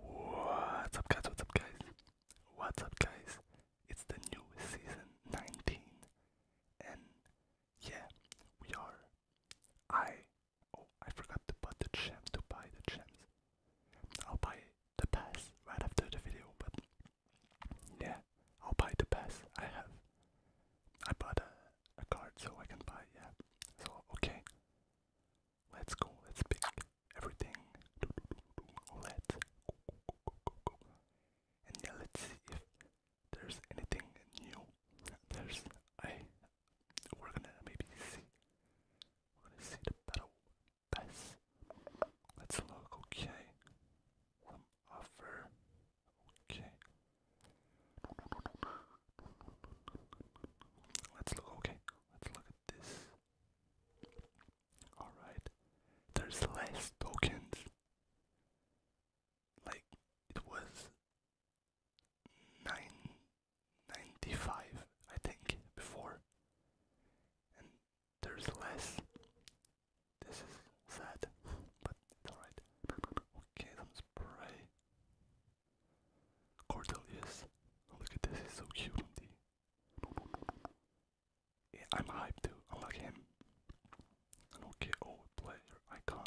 What's up guys, what's up guys? What's up guys? It's the new season 19 and yeah, we are I oh I forgot to put the gem to buy the gems. I'll buy the pass right after the video, but yeah, I'll buy the pass. I have I bought a a card so I can buy, yeah. So okay. Let's go, let's pick everything. Let's go, go, go, go, go. And yeah, let's see if there's anything new. There's I we're gonna maybe see we to see the battle pass. Let's look, okay. offer. Okay. Let's look, okay, let's look at this. Alright, there's less tokens. Like, it was 9.95, I think, before. And there's less. This is sad, but it's alright. Okay, some spray. Cordelius. Oh, look at this, he's so cute on I'm hyped too. I him. I do oh, player icon.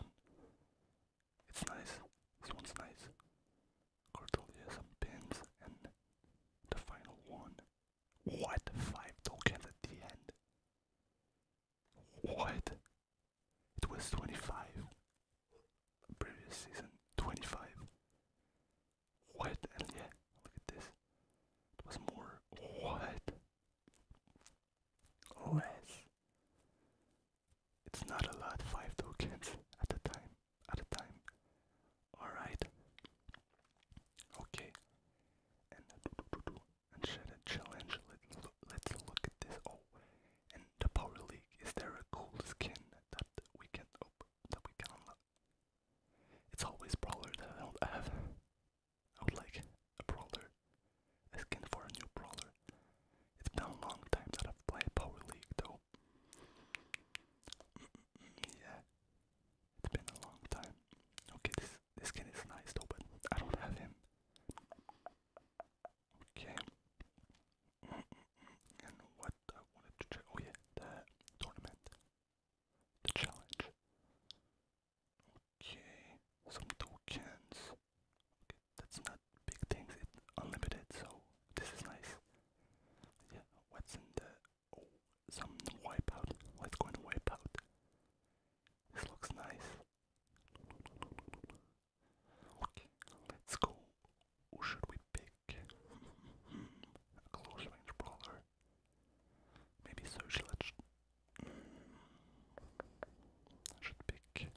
It's nice. This one's nice. Cordelius, pins, and the final one. What? Five tokens at the end. What? It was 25. Previous season, 25. What? yeah, look at this. It was more. What? Less. It's not a lot, 5 tokens at a time. At a time. Alright. Okay. And, and share the challenge. Let, let's look at this. Oh, and the Power League, is there a cool skin that we can open, that we can unlock? It's always Brawler that I don't have. I would like a Brawler, skin for a new Brawler. It's been a long time that I've played Power League though. yeah, it's been a long time. Okay, this, this skin is nice but I don't have him. Okay. And what I wanted to check. Oh, yeah, the tournament. The challenge. Okay. Some tokens. that's not big things. It's unlimited, so this is nice. Yeah, what's in the. Oh, some wipeout. Let's go wipeout. This looks nice. Okay, let's go. Who should we pick? A close range brawler. Maybe social. should pick.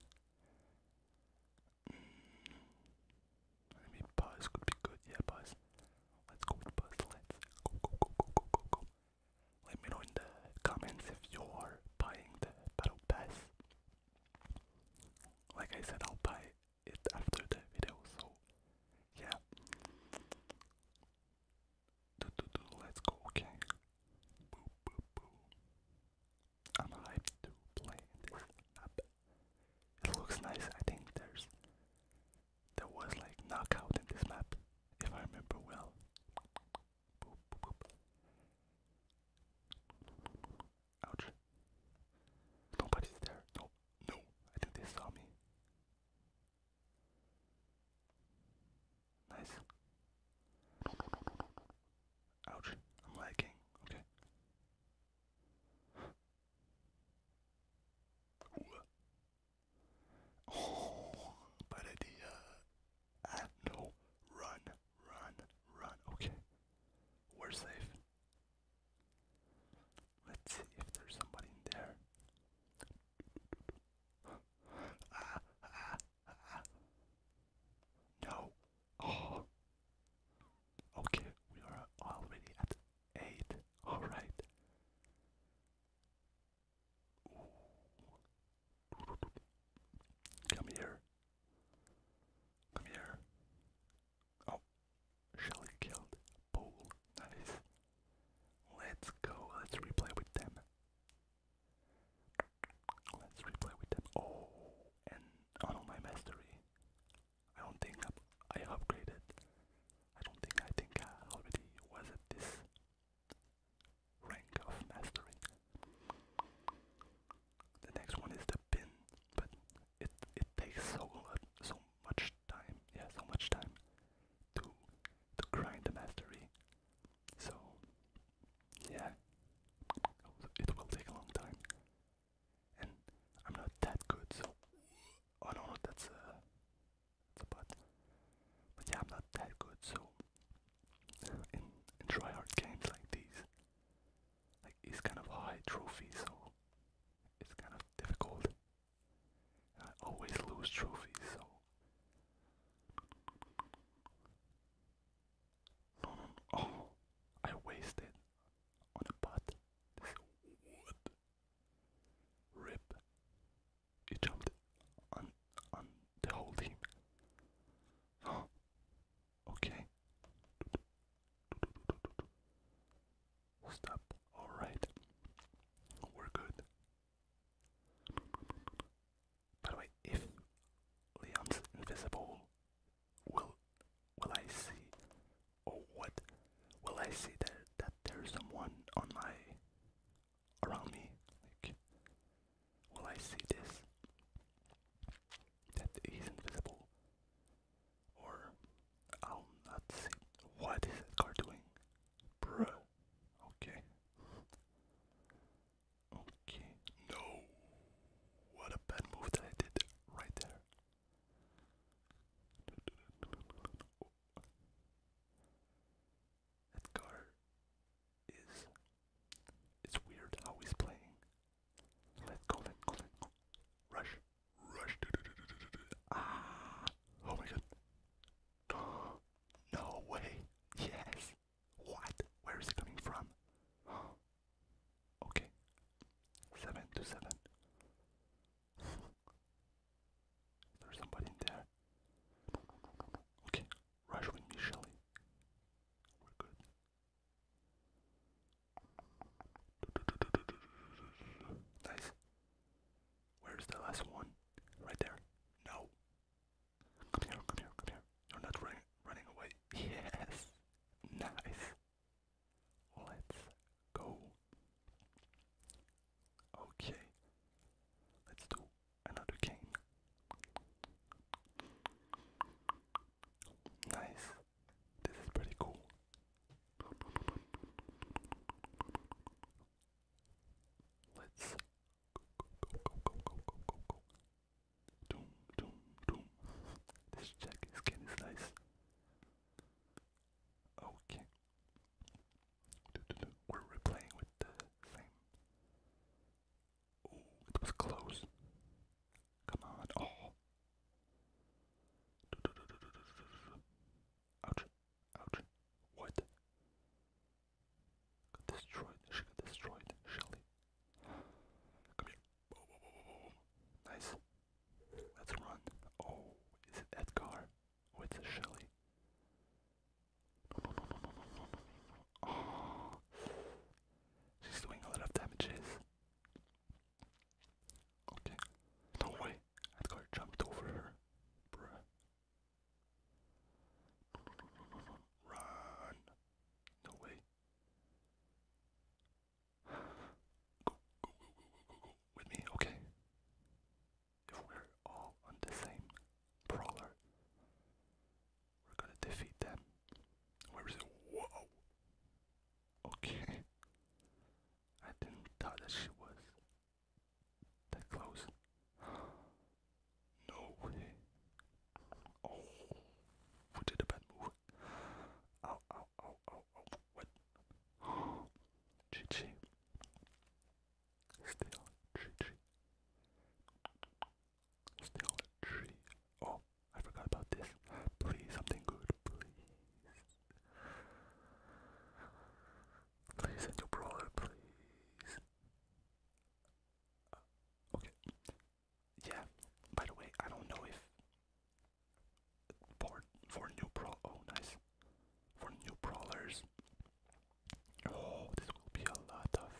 Mm, maybe Buzz could be good. Yeah, Buzz. Let's go with Buzz. Let's go, go, go, go, go, go, go. Let me know in the comments if you are buying the battle pass. Like I said, I'll buy it after the video, so yeah. Do, do, do, let's go, okay. Boo, boo, boo. I'm hyped to play this map. It looks nice. I think there's there was like knockout in this map, if I remember well. Ouch. Nobody's there. No, no. I think they saw me. Nice. No, no, no, no, no. Ouch. I'm lagging. Okay. Oh, bad idea no. Run, run, run. Okay. We're safe. Let's see if there's somebody in there. Ah, ah, ah. No. Oh. Okay, we are already at 8. Alright. Come here. Come here. Oh, Shelly killed Bull. Nice. Let's go. Let's replay with them. Let's replay with them. Oh, and on oh my mastery. I don't think I upgraded. I don't think I think uh, already was at this rank of mastering. The next one is the pin, but it it takes so uh, so much time, yeah, so much time to to grind the mastery. So yeah, it will take a long time, and I'm not that good. So oh no, that's uh, but but yeah, not that good. So in in try games like these, like it's kind of high trophy, so it's kind of difficult. I always lose trophies, so. No, no, no. Oh, I wasted on a pot. This what? Rip. You jumped on on the whole team. Okay. Stop. Alright. We're good. By the way, if Leon's invisible, will will I see or what will I see that that there's someone on my around me. Like, will I see this that is invisible? Or I'll not see. What is that car doing? Bruh. Okay. Okay. No. What a bad move that I did right there. That car is. It's weird how he's playing. Let go, let go, Rush, rush. Ah! Oh my god. No way. Yes. What? Where is it coming from? Okay. Seven to seven. There's somebody in there. Okay, rush with me, Shelly. We're good. Nice. Where's the last one? Right there. No. Come here, come here, come here. You're not running running away. Yes. Nice. Let's go. Okay, let's do another game. Nice, this is pretty cool. Let's go, go, go, go, go, go, go. Doom, doom, doom. This jacket skin is nice. Okay. We're replaying with the same. Oh, it was close. Come on. Oh. Ouch. Ouch. What? Got destroyed. She got destroyed. Shelly. Nice. Let's run. Oh, is it Edgar? With it's Shelly. No, no, no, no, no, no, no. Oh. She's doing a lot of damages. Okay. No way. Edgar jumped over her. Bruh. No, no, no, no, no. Run. No way. go, go, go, go, go, go. With me, okay if we're all on the same brawler, we're gonna defeat them. Where is it? Whoa! Okay. I didn't thought that she was that close. no way. Oh, we did a bad move. Ow, ow, ow, ow oh, what? GG. Still GG. Still a Oh, I forgot about this. Please, something good, please. Please send your brawler, please. Uh, okay. Yeah, by the way, I don't know if for for new pro oh nice for new brawlers. Oh, this will be a lot of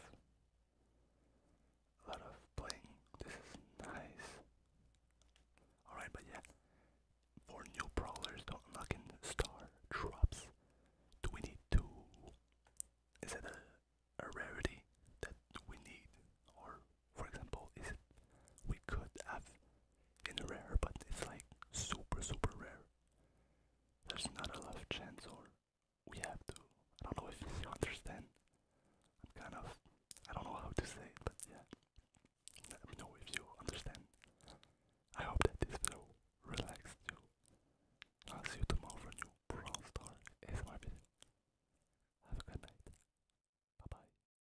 a lot of playing. This is nice. Alright, but yeah. For new brawlers to unlock in star drops, do we need to is it a, a rarity that we need? Or for example, is it we could have in rare, but it's like super, super rare. There's not a lot of chance, or we have to. I don't know if you understand. I'm kind of, I don't know how to say it, but yeah. Let me know if you understand. I hope that this video relaxed you. I'll see you tomorrow for a new Brawl Star ASMR video. Have a good night. Bye bye.